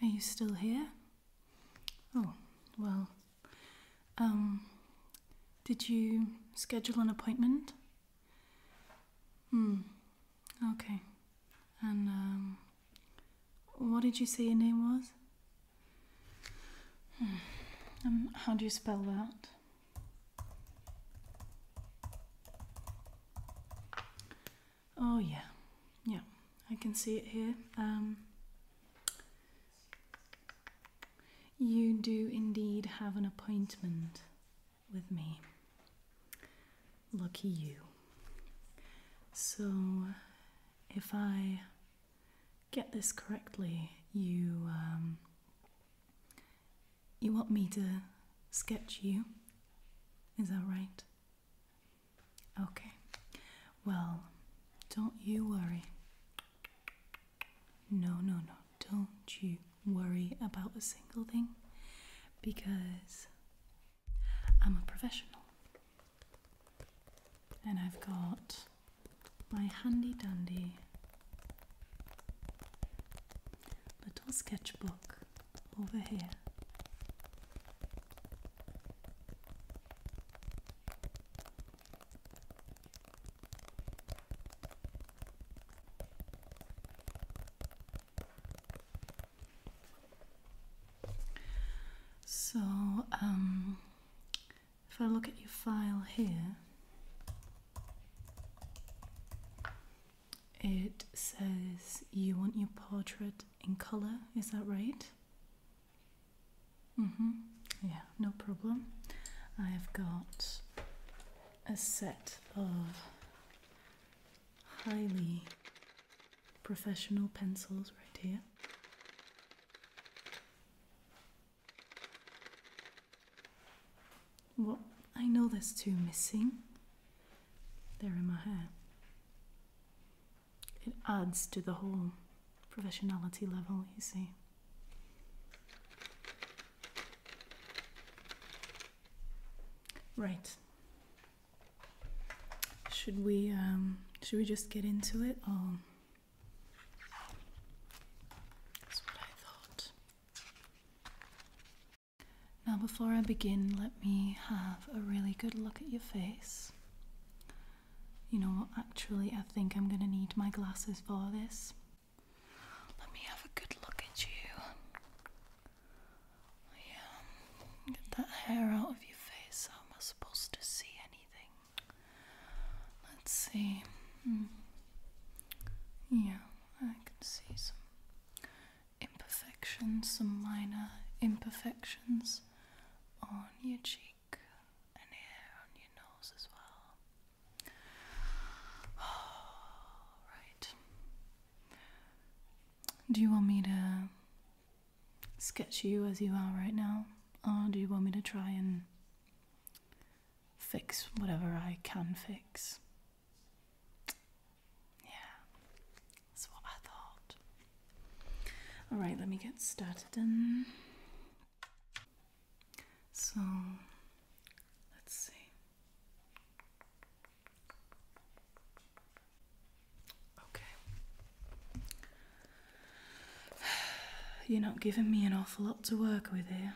Are you still here? Oh, well. Um, did you schedule an appointment? Hmm, okay. And, um, what did you say your name was? Hmm. Um, how do you spell that? Oh yeah, yeah, I can see it here. Um, you do indeed have an appointment with me. Lucky you. So, if I get this correctly, you um, you want me to sketch you? Is that right? Okay, well, don't you worry. No, no, no, don't you worry about a single thing because I'm a professional and I've got my handy dandy little sketchbook over here. So, um, if I look at your file here, it says you want your portrait in color, is that right? Mm hmm. Yeah, no problem. I have got a set of highly professional pencils right here. Well, I know there's two missing, they're in my hair. It adds to the whole professionalism level, you see. Right. Should we um, should we just get into it that's what I thought. Now, before I begin, let me have a really good look at your face. You know actually, I think I'm going to need my glasses for this. Let me have a good look at you. Yeah, get that hair out of your face. How am I supposed to see anything? Let's see. Hmm. Yeah, I can see some imperfections, some minor imperfections on your cheek and here on your nose as well. Oh, Do you want me to sketch you as you are right now? Or do you want me to try and fix whatever I can fix? Yeah, that's what I thought. Alright, let me get started then. So, let's see. Okay. You're not giving me an awful lot to work with here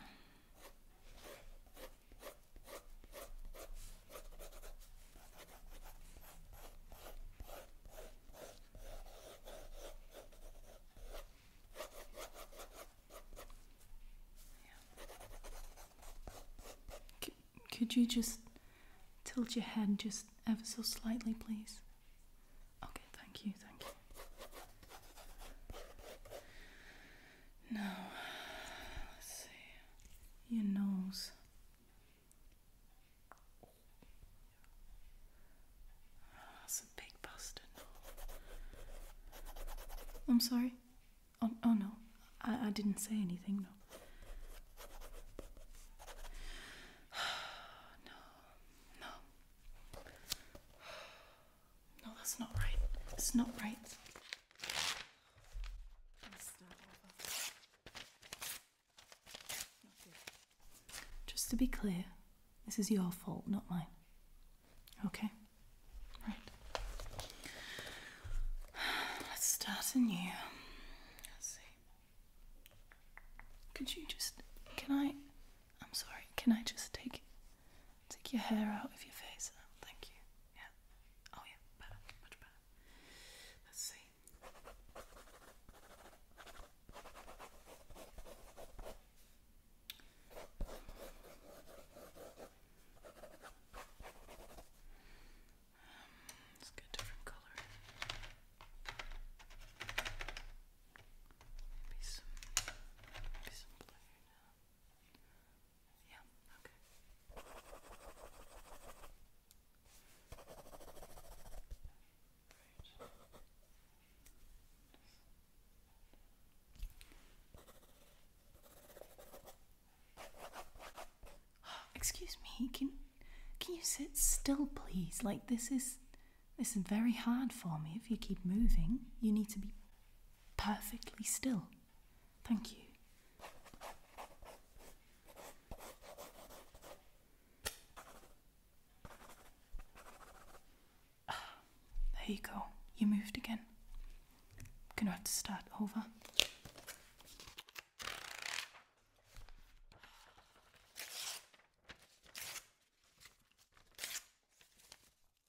could you just tilt your head just ever so slightly, please? Okay, thank you, thank you. No. let's see. Your nose. Ah, that's a big bastard. I'm sorry. Oh, oh, no, I, I didn't say anything, no. no, no. No, that's not right. It's not right. Just to be clear, this is your fault, not mine. Okay? Right. Let's start anew. Could you just. Can I. I'm sorry, can I just take it? Take your hair out of your face. thank you. Yeah. Oh, yeah. Much better. Let's see. Um, let's get different color. Maybe some, maybe some blue now. Excuse me, can can you sit still please? Like this is this is very hard for me if you keep moving. You need to be perfectly still. Thank you. there you go. You moved again. Gonna have to start over.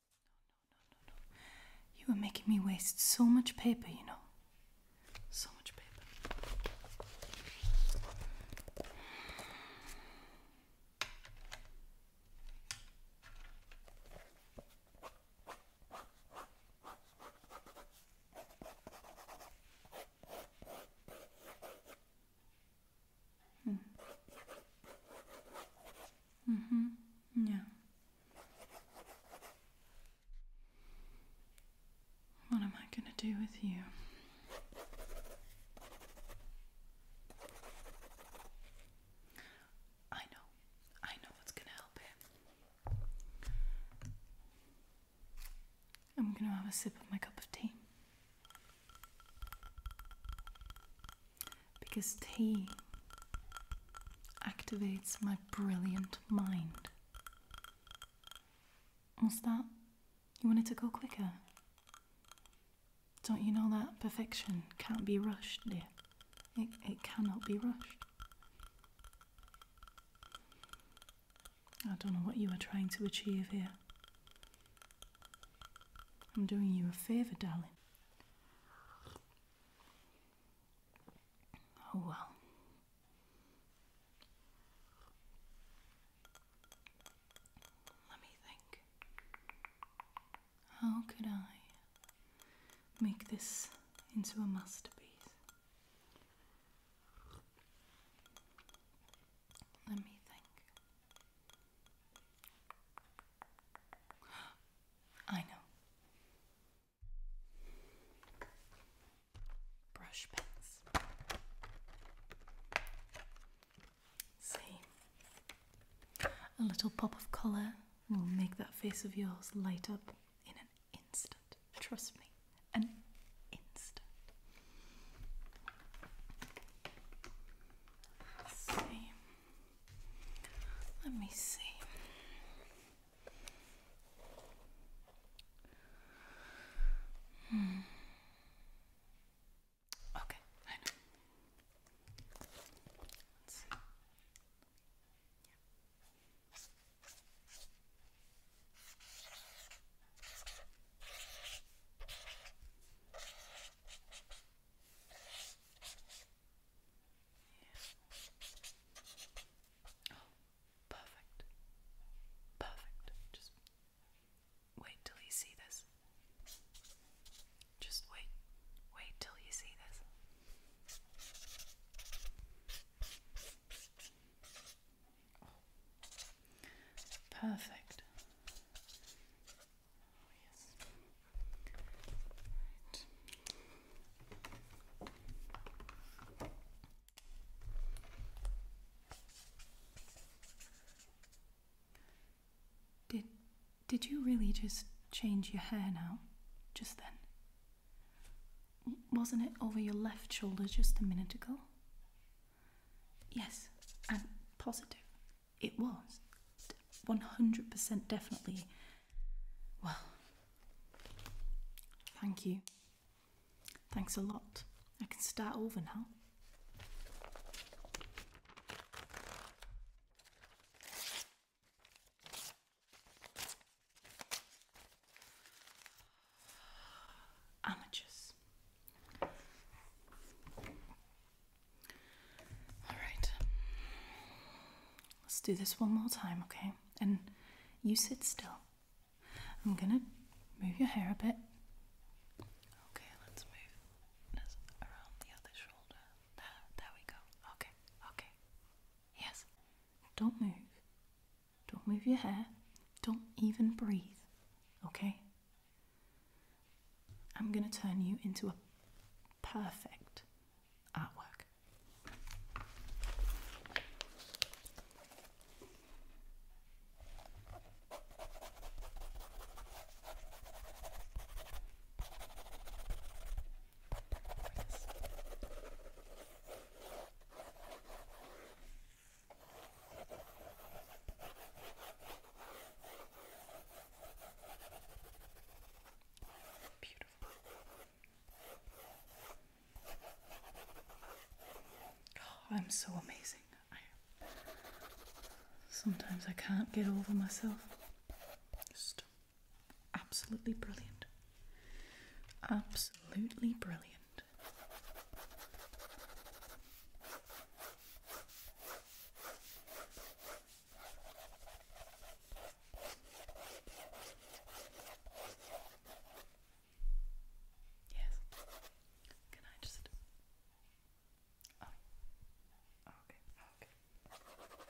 No, no, no, no. You are making me waste so much paper, you know. So much paper. Hmm. Mm-hmm. Yeah. What am I gonna do with you? I know. I know what's gonna help it. I'm gonna have a sip of my cup of tea. Because tea activates my brilliant mind. What's that? You wanted to go quicker? Don't you know that perfection can't be rushed, dear? It, it cannot be rushed. I don't know what you are trying to achieve here. I'm doing you a favour, darling. Oh well. Let me think. How could I make this into a masterpiece? Let me think. I know. Brush pens. See, a little pop of colour will make that face of yours light up in an instant. Trust me, an instant let me see. Hmm. Okay, I know. Let's see perfect. Perfect. Just wait till you see this. Just wait. Wait till you see this. Perfect. Did did you really just change your hair now? Just then? Wasn't it over your left shoulder just a minute ago? Yes, and positive. It was. 100% definitely. Well, thank you. Thanks a lot. I can start over now. Amateurs. All right. Let's do this one more time, okay? And you sit still. I'm gonna move your hair a bit. Okay, let's move around the other shoulder. There, there we go. Okay, okay. Yes. Don't move. Don't move your hair. Don't even breathe. Okay? I'm going to turn you into a perfect artwork. Beautiful. I'm so amazing. sometimes I can't get over myself. Just absolutely brilliant. Absolutely brilliant. Yes. Can I just? Oh. oh okay. Oh, okay. Okay.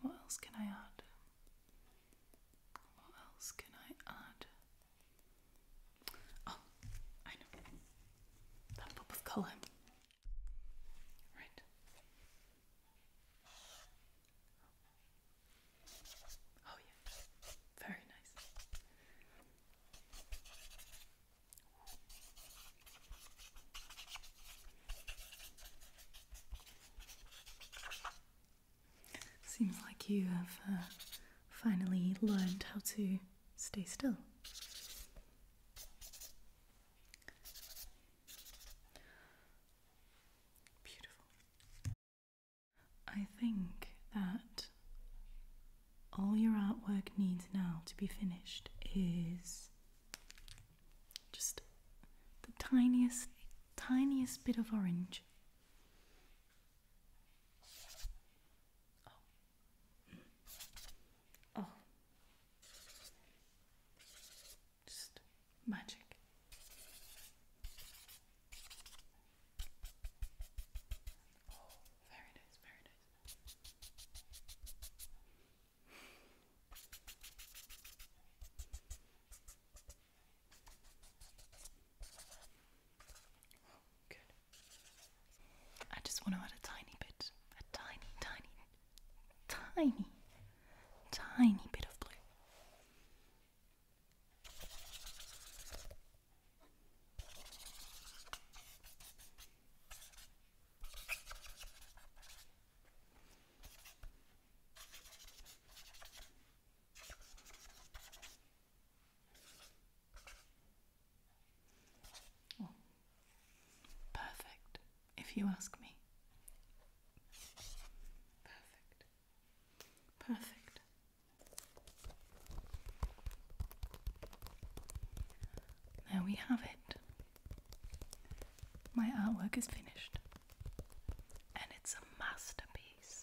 What else can I add? What else can I add? Oh, I know. That pop of colour. Right. Oh yeah. Very nice. Seems like you have uh, finally learned how to stay still. Beautiful. I think that all your artwork needs now to be finished is just the tiniest, tiniest bit of orange. Oh. Oh, just magic. Oh, very nice, very nice. Good. I just want to add a tiny bit, a tiny, tiny, tiny, tiny bit of blue. Oh, perfect, if you ask me. Perfect. Perfect. There we have it. My artwork is finished. And it's a masterpiece,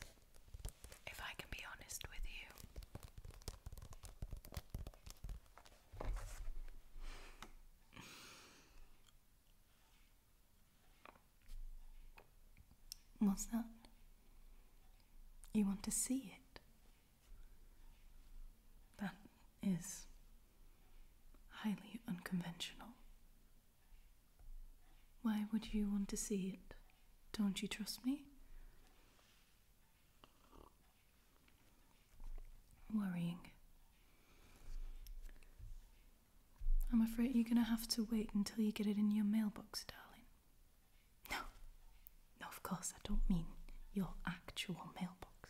if I can be honest with you. What's that? You want to see it? That is highly unconventional. Why would you want to see it? Don't you trust me? Worrying. I'm afraid you're going to have to wait until you get it in your mailbox, darling. No, no, of course, I don't mean your actual mailbox.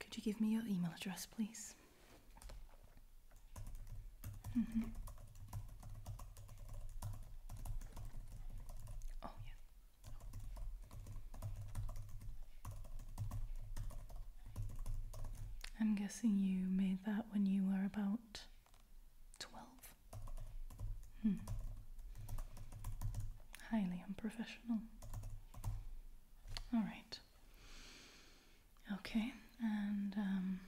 Could you give me your email address, please? Mm-hmm. Oh, yeah. I'm guessing you made that when you were about 12. Hmm. Highly unprofessional. Alright. Okay, and um,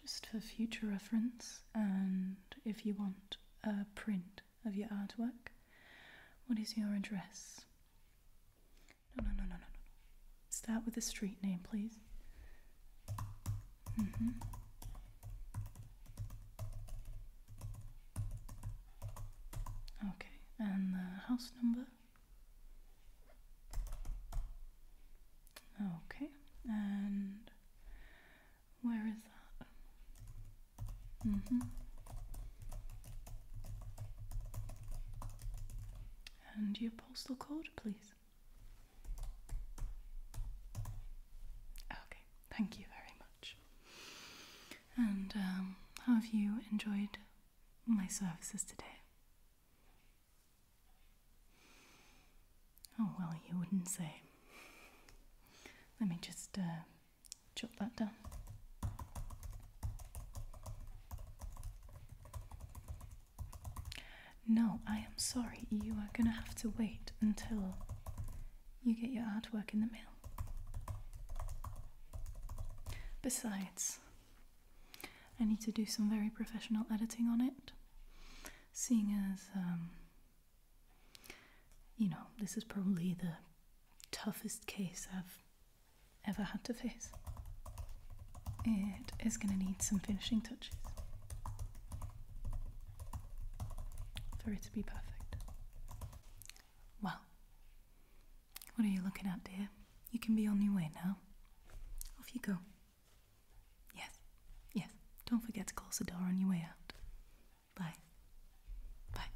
just for future reference, and if you want a print of your artwork. What is your address? No, no, no, no, no, no. Start with the street name, please. Mm-hmm. Okay, and the house number? Okay, and where is that? Mm hmm. And your postal code, please. Okay, thank you very much. And um, have you enjoyed my services today? Oh, well, you wouldn't say. Let me just uh, jot that down. No, I am sorry. You are going to have to wait until you get your artwork in the mail. Besides, I need to do some very professional editing on it seeing as, um, you know, this is probably the toughest case I've ever had to face. It is going to need some finishing touches for it to be perfect. Well, what are you looking at, dear? You can be on your way now. Off you go. Yes, yes. Don't forget to close the door on your way out. Bye. Bye.